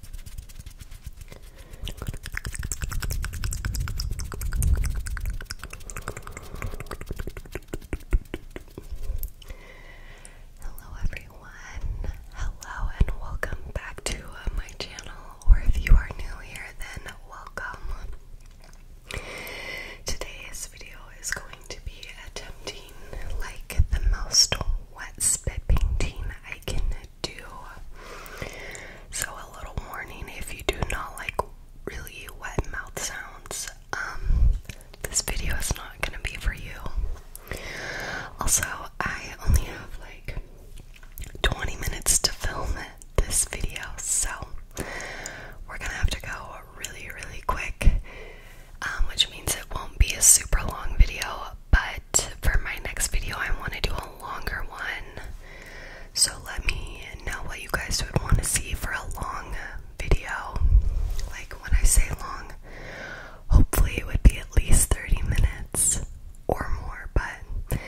Hello, everyone. Hello, and welcome back to my channel. Or if you are new here, then welcome. Today's video is going to be attempting like the most wet spit painting I can do. So a little warning if you do not like really wet mouth sounds, um this video is not gonna be for you. Also, I only have like 20 minutes to film it, this video, so we're gonna have to go really, really quick, um, which means it won't be a super long video, but for my next video, I want to do a longer one. So let me know what you guys would want to see for a long video. Like when I say long, hopefully it would be at least 30 minutes or more, but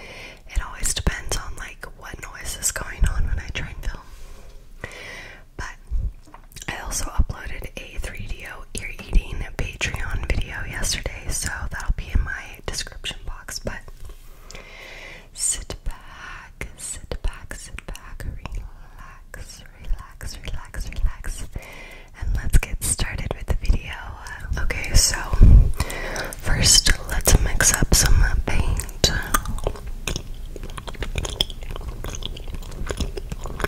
it always depends on like what noise is going on when I try and film. But I also uploaded a 3 d ear eating Patreon video yesterday, so that'll be in my description box. But sit back, sit back, sit back, relax, relax, relax, relax, and let's get started with the video. Okay, so first let's mix up some paint.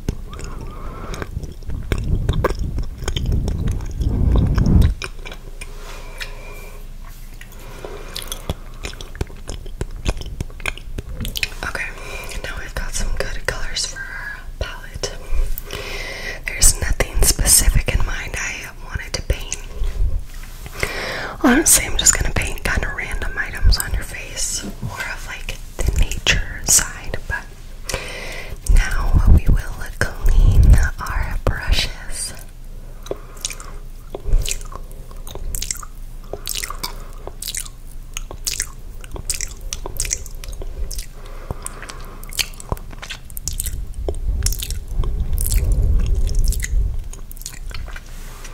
Okay, now we've got some good colors for our palette. There's nothing specific in mind I wanted to paint. Honestly, I'm just gonna paint kind of random items on your face more of like the nature side, but now we will clean our brushes.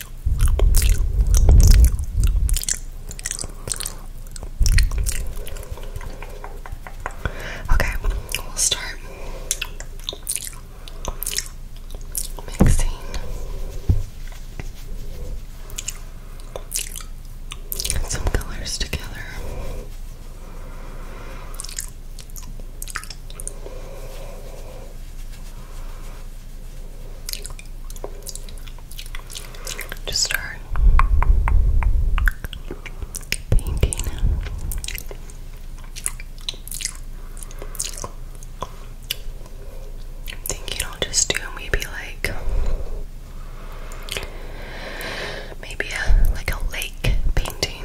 Okay, we'll start mixing. some colors together. Just start painting. I'm thinking I'll just do maybe like maybe a like a lake painting.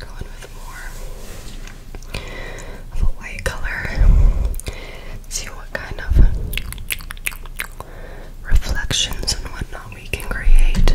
Going with more of a white color. See what kind of reflections and whatnot we can create.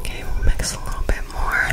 Okay, we'll mix a little bit more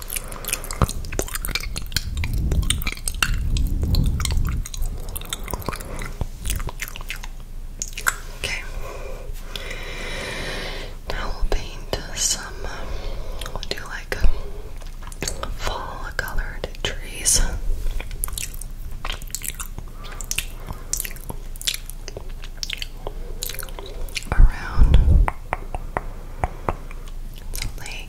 Okay. Now we'll paint some. We'll like fall colored trees. Around so like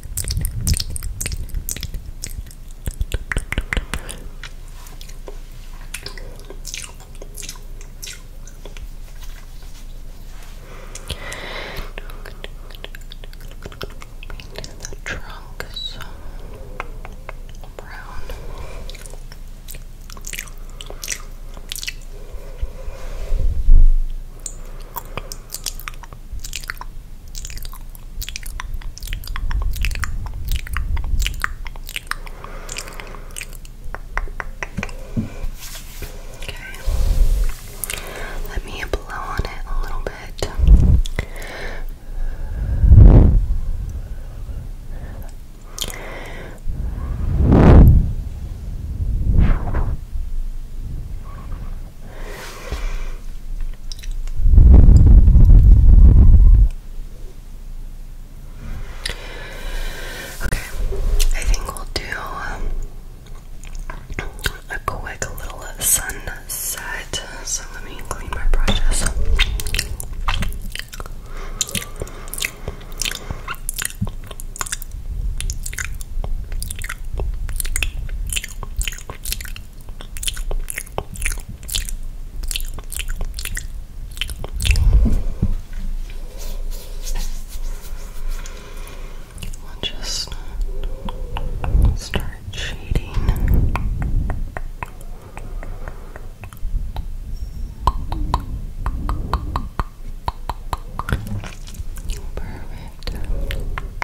The trunk is so brown. Okay. Let me blow on it a little bit. Okay. Okay, I think we'll do um, a quick little sunset. So let me clean my brushes. We'll just start shading. Perfect.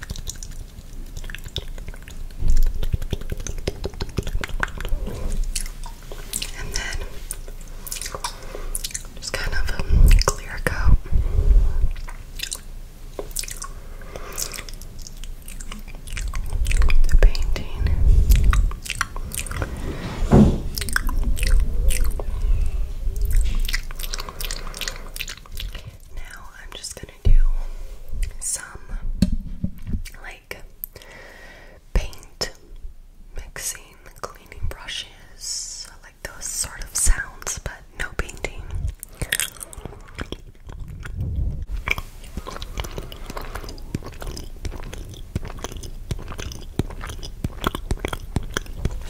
And then just kind of a um, clear coat. The painting. Now I'm just gonna do some like paint mixing, cleaning brushes, like those sort of sounds, but no painting.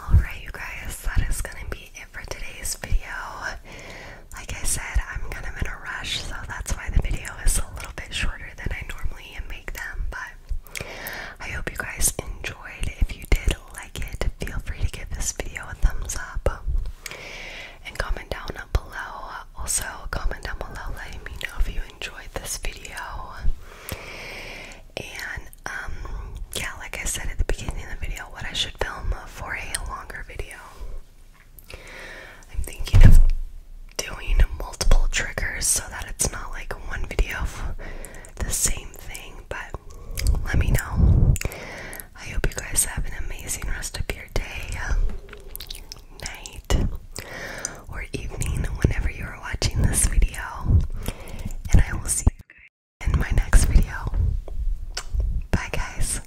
Alright, you guys, that is going to be it for today's video. Like I said, I'm kind of in a rush, so that's why the video is a little bit shorter than I normally make them. But I hope you guys enjoyed. If you did like it, feel free to give this video a thumbs up and comment down below. Also, comment down below letting me know if you enjoyed this video. And um, yeah, like I said at the beginning of the video, what I should film for a longer video. I'm thinking of doing multiple triggers so that it's not like one video the same thing, but let me know. I hope you guys have an amazing rest of your day, um, night, or evening whenever you are watching this video. And I will see you in my next video. Bye, guys.